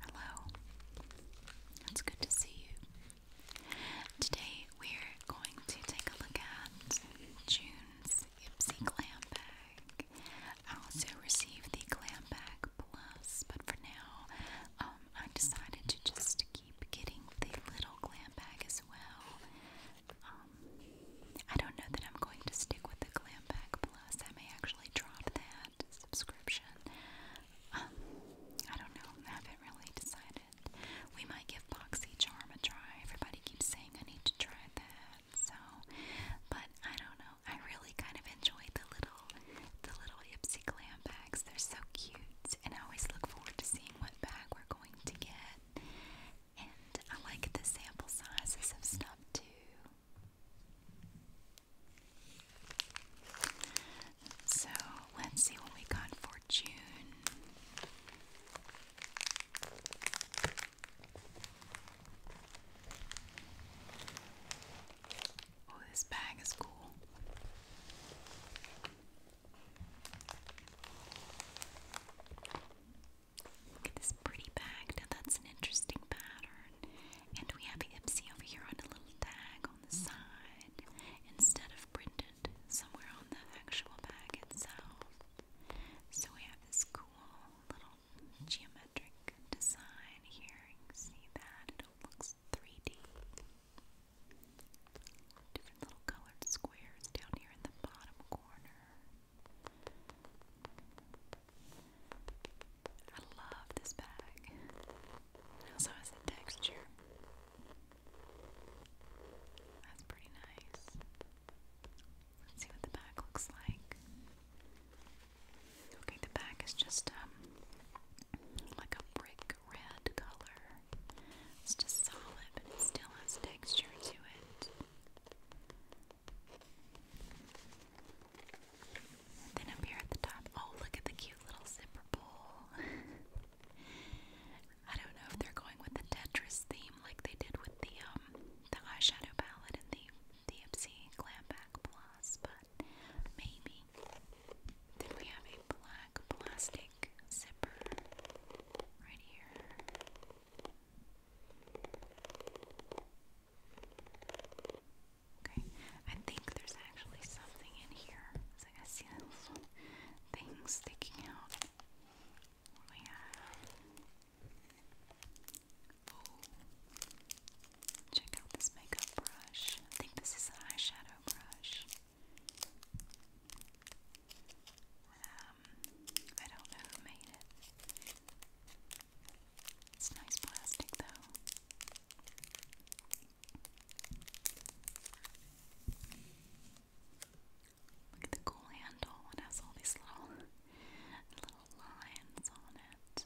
Hello. It's good to see you. Today we're going to take a look at June's Ipsy Glam Bag. I also received the Glam Bag Plus, but for now, um, I decided to just keep getting the little glam bag as well. Um, I don't know that I'm going to stick with the Glam bag Plus. I may actually drop that subscription. Um, I don't know. I haven't really decided. We might give Boxy Charm a try. Everybody keeps saying I need to try that. So, but I don't know. I really kind of enjoy the little, the little Ipsy Glam bags. They're so cute, and I always look forward to seeing what bag we're going to get. And I like the sample sizes of stuff too. So let's see what we got for June. Oh, this bag is cool. Look at this pretty bag. Now that's an interesting pattern. And we have Ipsy over here on a little tag on the side instead of printed somewhere on the actual bag itself. So we have this cool little geometric design here. You can see that it looks 3D. Different little colored squares down here in the bottom corner. I love this bag. It also has a texture. That's pretty nice. Let's see what the back looks like. Okay, the back is just um like a brick red color. It's just solid, but it still has texture to it then up here at the top, oh look at the cute little zipper bowl. I don't know if they're going with the Tetris theme like they did with the um, the eyeshadow palette and the DMC Glam Back Plus, but maybe. Then we have a black plastic zipper right here. Okay, I think there's actually something in here. I see this sticking out. we have? check out this makeup brush. I think this is an eyeshadow brush. Um, I don't know who made it. It's nice plastic though. Look at the cool handle. It has all these little little lines on it.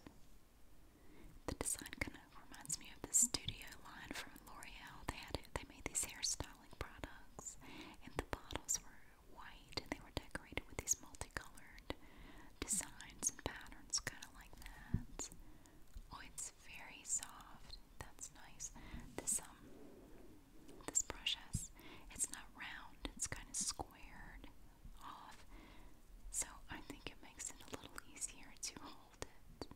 The design kind of reminds me of the studio line from L'Oreal. They had it, they made these hairstyling products and the bottles were white and they were decorated with these multicolored designs and patterns, kind of like that. Oh, it's very soft. That's nice. This um, this brush has it's not round. It's kind of squared off, so I think it makes it a little easier to hold it.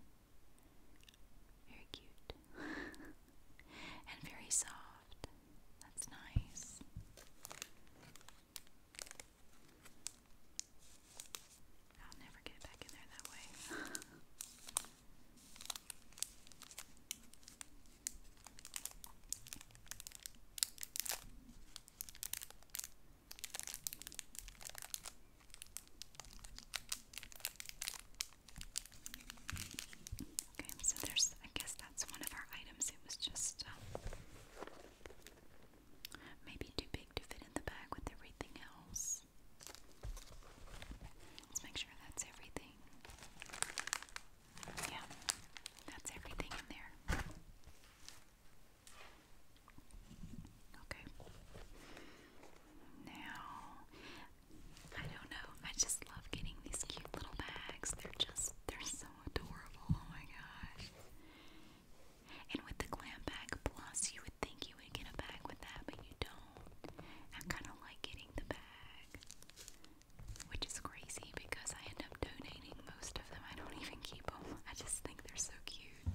Very cute and very soft soft. That's nice. I'll never get back in there that way. Okay, so there's, I guess that's one of our items. It was just uh, maybe too big to fit in the bag with everything else. Let's make sure that's everything. Yeah, that's everything in there. Okay. Now, I don't know. I just love getting these cute little bags. They're just, they're so adorable. Oh my gosh. And with the Glam Bag Plus, you would think you would get a bag with that, but you don't. I kind of like getting the bag, which is crazy because I end up donating most of them. I don't even keep them, I just think they're so cute.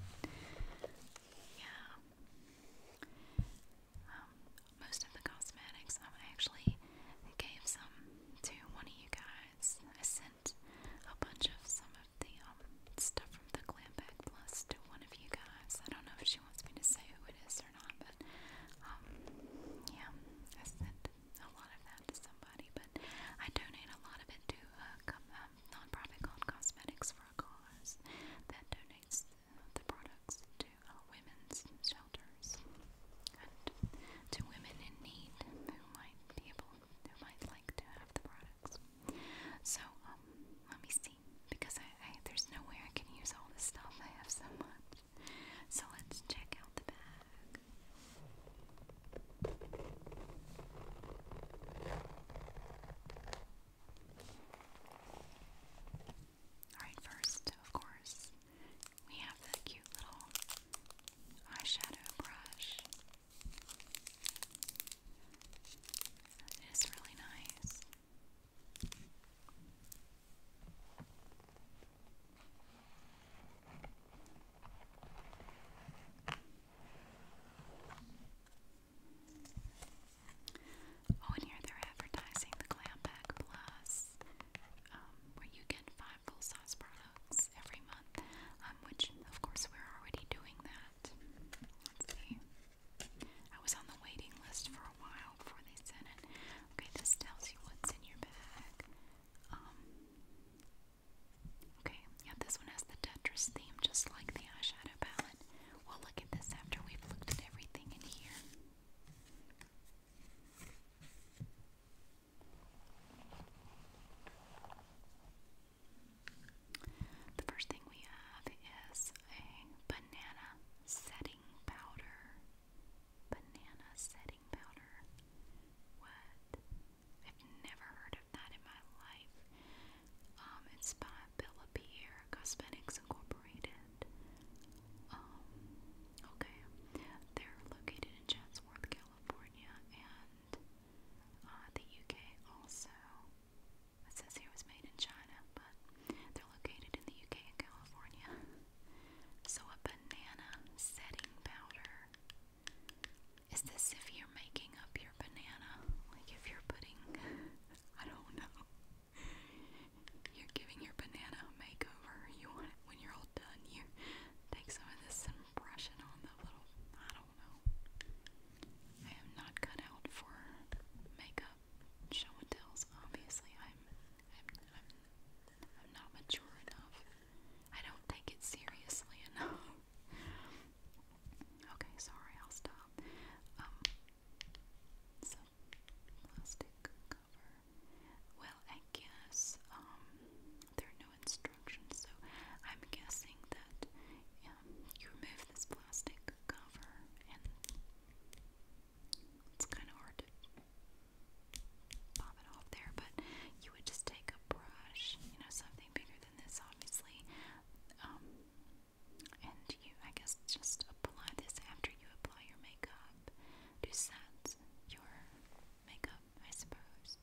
Yeah. Um, most of the cosmetics, um, I actually gave some to one of you guys. I sent a bunch of some of the um, stuff from the Glam Bag Plus to one of you guys. I don't know if she wants me to say who it is or not, but um, yeah, I sent a lot of that to somebody. But I donate a lot of it to a um, nonprofit called Cosmetics for a Cause that donates the, the products to uh, women's shelter shelters and to women in need who might be able, who might like to have the products. So, um, let me see, because I, there's no way I can use all this stuff. I have so much. So let's check out the bag. Alright, first, of course, we have the cute little eyeshadow brush. It is really nice. Oh, and here they're advertising the Glam Pack Plus, um, where you get 5 five full size products every month, um, which of course we're already doing that. Let's see. I was on the waiting list for a while before they sent it. Okay, this tells you what's in your bag. Um, okay, yeah, this one has the Tetris theme, just like the eyeshadow palette. we look at this after we've looked at everything in here. The first thing we have is a banana setting powder. Banana setting powder. What? I've never heard of that in my life. Um, it's by Bella Cosmetics Incorporated. Um, okay. They're located in Chatsworth, California, and uh, the UK also. It says here it was made in China, but they're located in the UK and California. So a banana setting powder. Is this if you're making up your banana? Like if you're putting I don't know. You're giving your banana a makeover. You when you're all done. You take some of this and brush it on the little. I don't know. I am not cut out for makeup show and tells. Obviously, I'm, I'm, I'm not mature enough. I don't take it seriously enough. okay, sorry, I'll stop. Um, so plastic. Well, I guess um, there are no instructions, so I'm guessing that um, you remove this plastic cover, and it's kind of hard to pop it off there, but you would just take a brush, you know, something bigger than this, obviously. Um, and you, I guess, just apply this after you apply your makeup. Do sets your makeup, I suppose.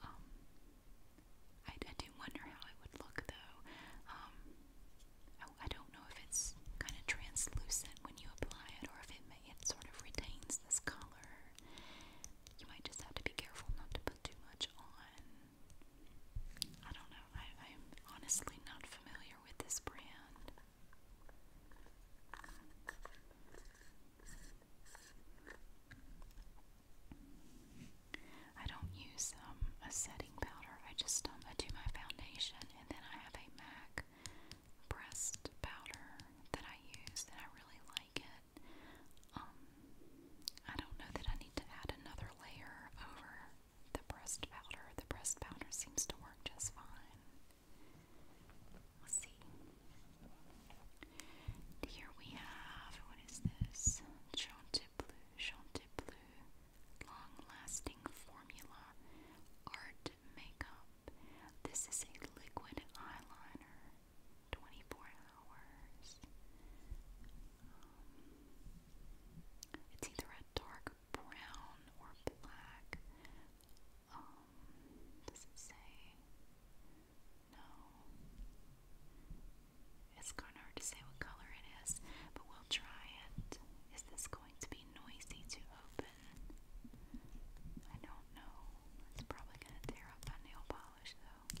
Um, I, do wonder how it would look though. Um, I, don't know if it's kind of translucent when you apply it or if it, may, sort of retains this color. You might just have to be careful not to put too much on. I don't know. I'm honestly not familiar with this brand. I don't use um, a setting powder. I just um, I do my foundation, and then I have a MAC pressed powder that I use, and I really like it. Um, I don't know that I need to add another layer over the pressed powder. The pressed powder seems to work just fine. Let's see. Here we have what is this? Chantebleu, Chantebleu, long-lasting formula, art makeup. This is a liquid eyeliner, 24 hours. Um, it's either a dark brown or black. Um, does it say? No. It's kind of hard to say what color it is, but we'll try it. Is this going to be noisy to open? I don't know. It's probably going to tear up my nail polish, though.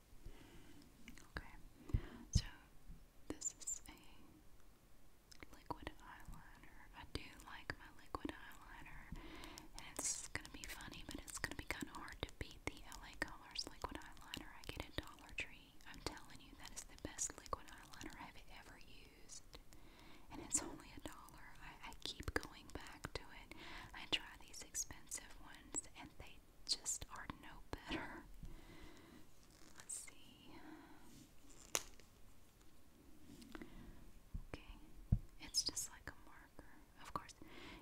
Okay, so this is a liquid eyeliner. I do like my liquid eyeliner, and it's gonna be funny, but it's gonna be kind of hard to beat the LA Colors liquid eyeliner I get at Dollar Tree. I'm telling you, that is the best liquid eyeliner I've ever used, and it's only a dollar. I, I keep going back to it. I try these expensive ones, and they just are no better. Let's see. Okay, it's just like a marker. Of course,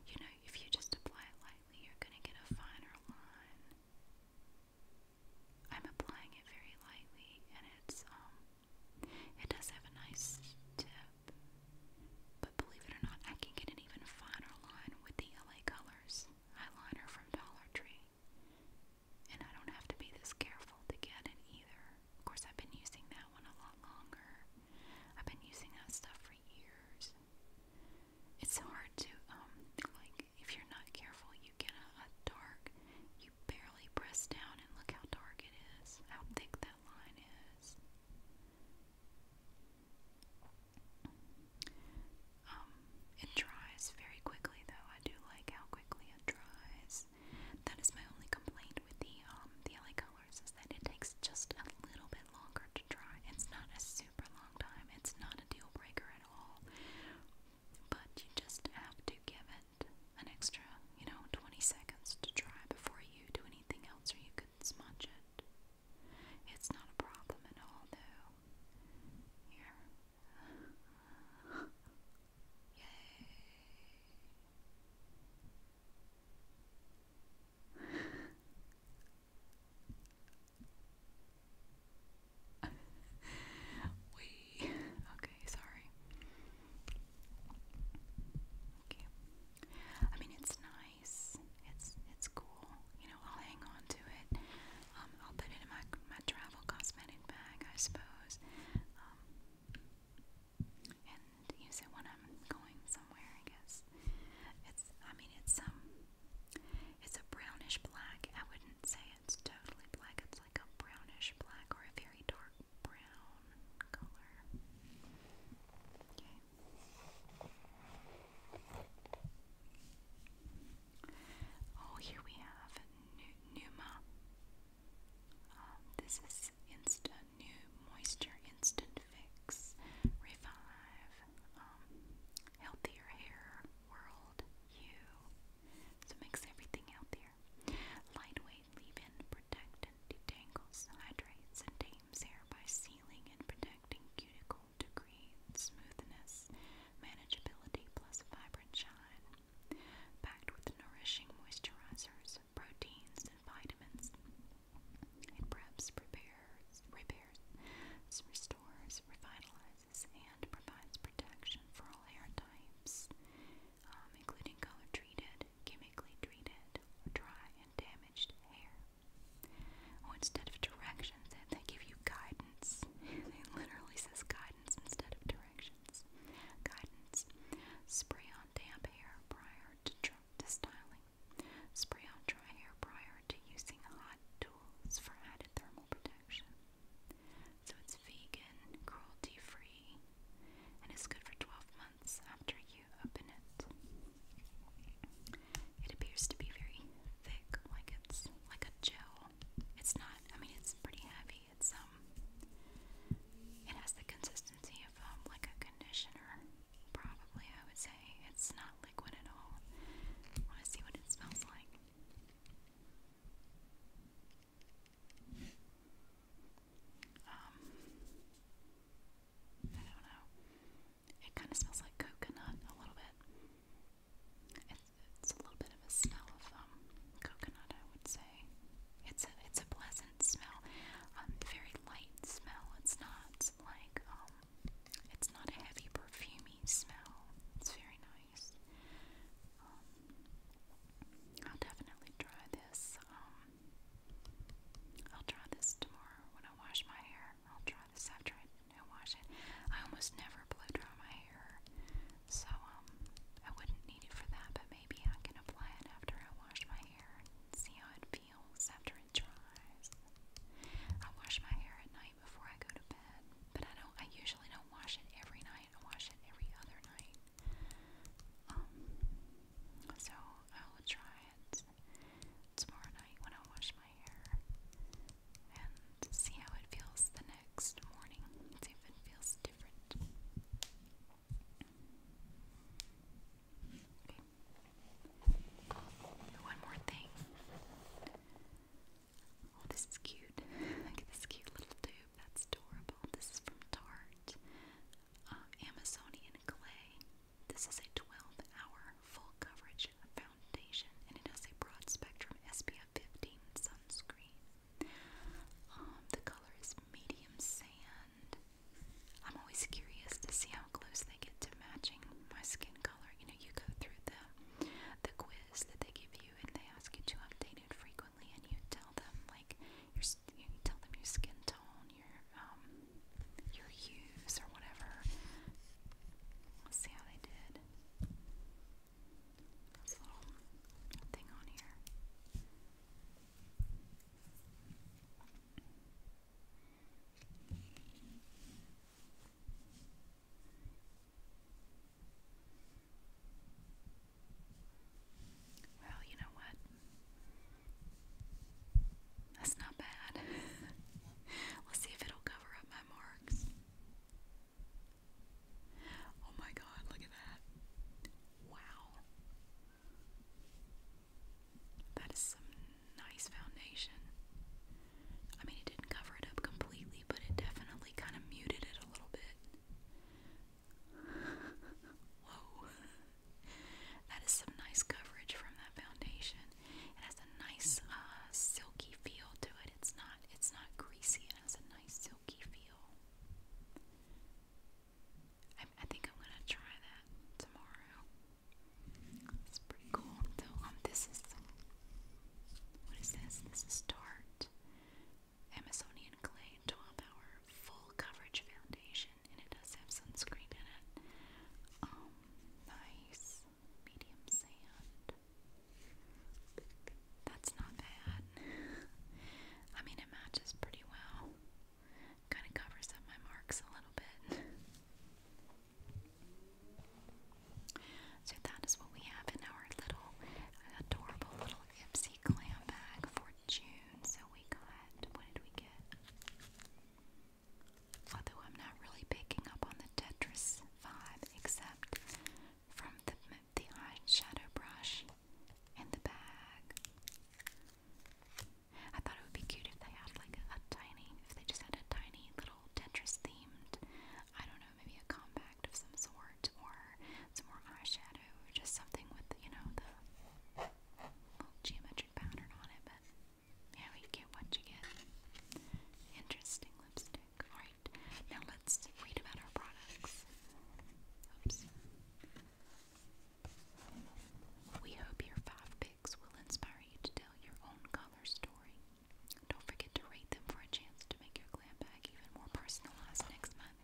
you know, if you just apply it lightly, you're going to get a finer line. I'm applying it very lightly, and it's, um, it does have a nice tip. But believe it or not, I can get an even finer line with the LA Colors eyeliner from Dollar Tree. And I don't have to be this careful to get it either. Of course, I've been using that one a lot longer. I've been using that stuff for years. It's hard to, um, like, if you're not careful, you get a dark, you barely press down, and look how dark it is, how thick that line is. Um, it dries very quickly though. I do like how quickly it dries. That is my only complaint with the um the LA colors is that it takes just a little bit longer to dry. It's not a super long time. It's not a deal breaker at all. But you just have to give it an extra, you know, 20 seconds to dry before you do anything else or you could smudge it. It's not a problem at all, though. Here. Yay. we okay, sorry. I mean, it's nice. It's it's cool. You know, I'll hang on to it. Um, I'll put it in my my travel cosmetic bag, I suppose. Um, and use it when I'm going somewhere, I guess. It's I mean, it's um it's a brownish black. I wouldn't say it's totally black. It's like a brownish black or a very dark brown color. Okay. Oh, here we have Numa. Um, this is instant new moisture, instant fix, revive, um, healthier hair, world, you. So makes everything healthier. Lightweight leave-in protectant detangles, hydrates, and hair by sealing and protecting cuticle to create smoothness, manageability, plus vibrant shine. Packed with nourishing moisturizers, proteins, and vitamins, it preps, prepares, repairs, restores, revitalizes, and provides protection for all hair types, um, including color treated, chemically treated, dry and damaged hair. Oh, instead of directions, they, give you guidance. it literally says guidance instead of directions. Guidance. Spray on damp hair prior to, to styling. Spray on dry hair prior to using hot tools for added thermal protection. So it's vegan, cruelty free, and it's good for 12 months after you open it. It appears to be very thick, like it's like a gel. It's not, I mean, it's pretty heavy. It's, um, it has the consistency of, um, like a conditioner, probably, I would say. It's not liquid at all. I want to see what it smells like. Um, I don't know. It kind of smells like coconut a little bit. It's, a little bit of a smell of um, coconut, I would say. It's a it's a pleasant smell, um, very light smell. It's not like um, it's not a heavy perfumy smell. It's very nice. Um, I'll definitely try this. Um, I'll try this tomorrow when I wash my hair. I'll try this after I wash it. I almost never blow dry my hair, so um, I wouldn't need it for that, but maybe I can apply it after I wash my hair and see how it feels after it dries. I wash my hair at night before I go to bed, but I don't, I usually don't wash it every night, I wash it every other night. Um, so I will try it tomorrow night when I wash my hair and see how it feels the next morning. See if it feels different. Okay. One more thing. Oh, this is cute. Look at this cute little tube. That's adorable. This is from Tarte. Um, Amazonian clay. This is a 12-hour full coverage foundation and it has a broad spectrum SPF 15 sunscreen. Um, the color is medium sand. I'm always curious to see how close they get to matching my skin color. You know, you go through the the quiz that they give you and they ask you to update it frequently and you tell them like you tell them your skin tone down your um, your hues or whatever. Let's see how they did. This little thing on here. Well, you know what? That's not bad. Let's see if it'll cover up my marks. Oh my god, look at that. Wow. That is some nice foundation. I mean, it didn't cover it up completely, but it definitely kind of muted it a little bit. Whoa. That is some nice coverage from that foundation. It has a nice uh, silky feel to it. It's not it's not greasy. It has a nice silky feel. I, think I'm gonna try that tomorrow. It's pretty cool. So um, this is what is this? This is Tarte Amazonian Clay 12 Hour Full Coverage Foundation and it does have sunscreen in it. Um, nice medium sand. That's not bad. I mean, it matches pretty well. Kind of covers up my marks a little bit. So that is what we have in our little adorable little Ipsy glam bag for June. So we got what did we get? Although I'm not really picking up on the Tetris vibe except from the, the eyeshadow brush and the bag. I thought it would be cute if they had like a, tiny, if they just had a tiny little Tetris themed, I don't know, maybe a compact of some sort or some more eyeshadow just something with, you know, the geometric pattern on it. But very get what you get. Interesting lipstick. Alright, now let's read about our products. Oops. We hope your five picks will inspire you to tell your own color story. Don't forget to rate them for a chance to make your glam bag even more personalized next month.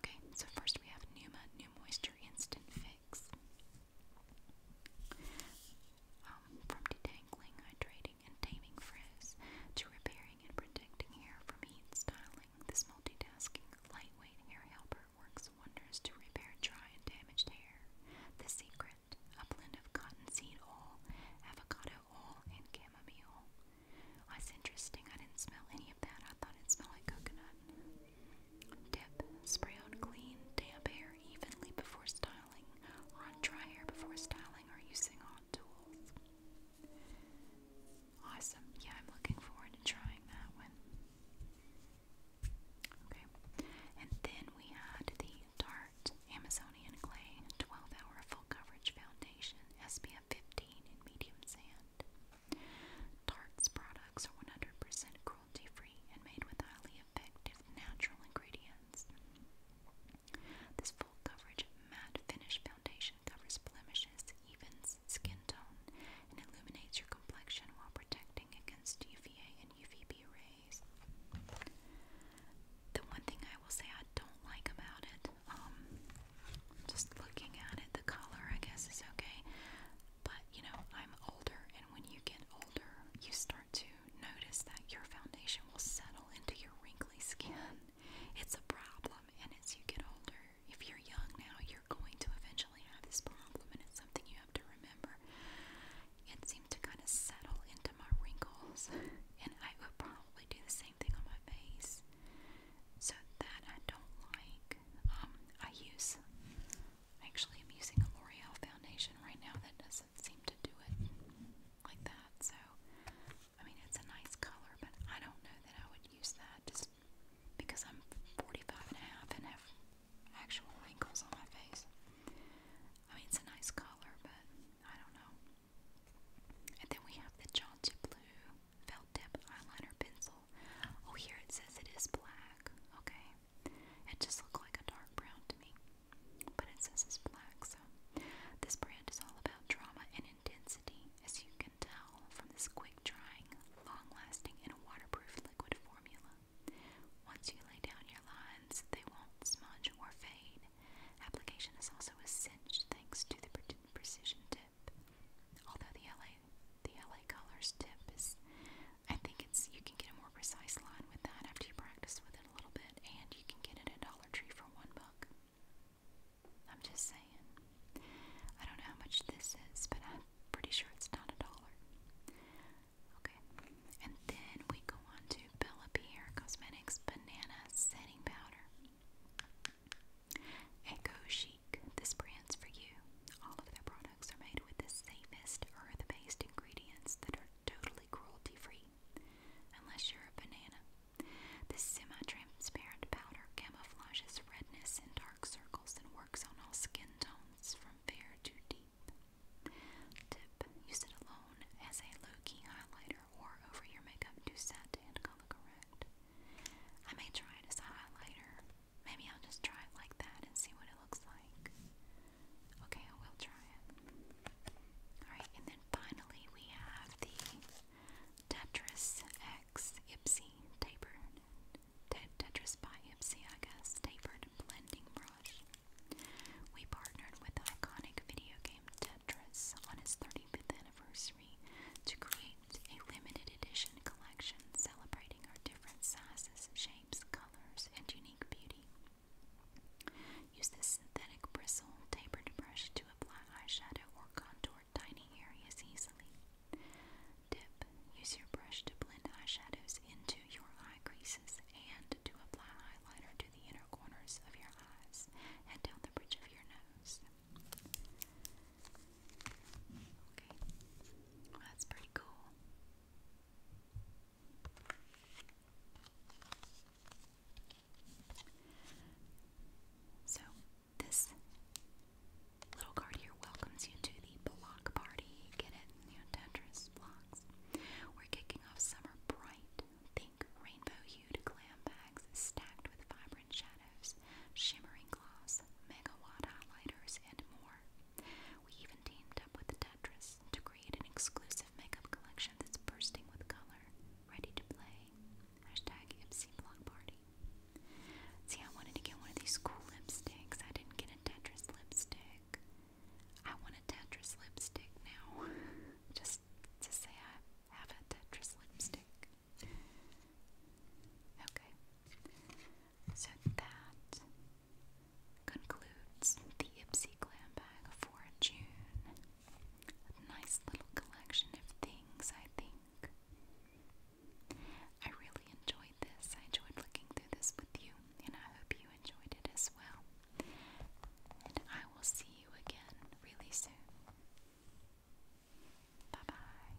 Okay, so first we have Numa New Moisture Instant Fix. Um, from detangling, hydrating, and taming frizz to repairing and protecting hair from heat styling, this multitasking, lightweight hair helper works wonders to repair dry and damaged hair. The secret a blend of cottonseed oil, avocado oil, and chamomile. That's interesting. I didn't smell any of that. I thought it smelled like coconut. Tip: Spray on clean, damp hair evenly before styling, or on dry hair before styling or using hot tools. Awesome. Yeah, I'm looking forward to trying that one. Okay. And then we had the Tarte Amazonian Clay 12 Hour Full Coverage Foundation SPF 15 in Medium Sand. Tarte's products are 100% cruelty free and made with highly effective natural ingredients. This full coverage matte finish foundation covers blemishes, evens skin tone, and illuminates your complexion while protecting against UVA and UVB rays. The one thing I will say I don't like about it, um, just looking at it, the color I guess is okay. But you know, I'm older, and when you get older, you start to notice that your foundation will settle into your wrinkly skin. It's a problem, and as you get older, if you're young now, you're going to eventually have this problem, and it's something you have to remember. It seemed to kind of settle into my wrinkles, and I would probably do the same thing on my face. So that I don't like. Um, I use Actually, I'm using a L'Oreal foundation right now that doesn't seem to do it like that. So, I mean, it's a nice color, but I don't know that I would use that just because I'm 45 and have actual wrinkles on my face. I mean, it's a nice color, but I don't know. And then we have the Jaunty Blue Felt Tip Eyeliner Pencil. Oh, here it says it is black. Okay, it just looked like a dark brown to me. But it says it's black, so this brand is all about drama and intensity, as you can tell from this quick drying, long lasting, and waterproof liquid formula. Once you lay down your lines, they won't smudge or fade. Application is also a cinch thanks to the precision tip. Although the LA the LA Colors tip is I think it's you can get a more precise line with that after you practice with it a little bit, and you can get it at Dollar Tree for one buck. I'm just saying. I don't know how much this is, but I'm pretty sure it's not a dollar. Okay, and then we go on to Bella Pierre Cosmetics Banana Setting Powder. Echo Chic. This brand's for you. All of their products are made with the safest earth based ingredients that are totally cruelty free, unless you're a banana. This semi transparent powder camouflages redness and dark circles and works on all skin tones from fair to deep. Tip use it alone as a low key highlighter or over your makeup to set and color correct. I may try it as a highlighter Maybe I'll just try it like that and see what it looks like. Okay, I will try it. Alright, and then finally we have the Tetris X tapered. Tetris by Ipsy, guess, tapered blending brush. We partnered with iconic video game Tetris on its 35th anniversary to create a limited edition collection celebrating celebrating our different sizes, shapes, colors, and unique beauty. Use this synthetic bristle tapered brush to apply eyeshadow or contour tiny areas easily. Dip. Use your brush to blend eyeshadows into your eye creases and to apply highlighter to the inner corners of your eyes and down the bridge of your nose. Okay, that's pretty cool. So, this little card here welcomes you to the block party. Get it? You know, Tetris blocks. We're kicking off summer bright. Think rainbow hued glam bags stacked with vibrant shadows, shimmering gloss, megawatt highlighters, and more. We even teamed up with Tetris to create an exclusive makeup collection that's bursting with color, ready to play. Hashtag See, I wanted to get one of these cool lipsticks. I didn't get a Tetris lipstick. I want a Tetris lipstick now. Just to say I have a Tetris lipstick. Okay. So that concludes the Ipsy Glam Bag for June. nice little collection of things, I think. I really enjoyed this. I enjoyed looking through this with you, and I hope you enjoyed it as well. And I will see you again really soon. Bye bye.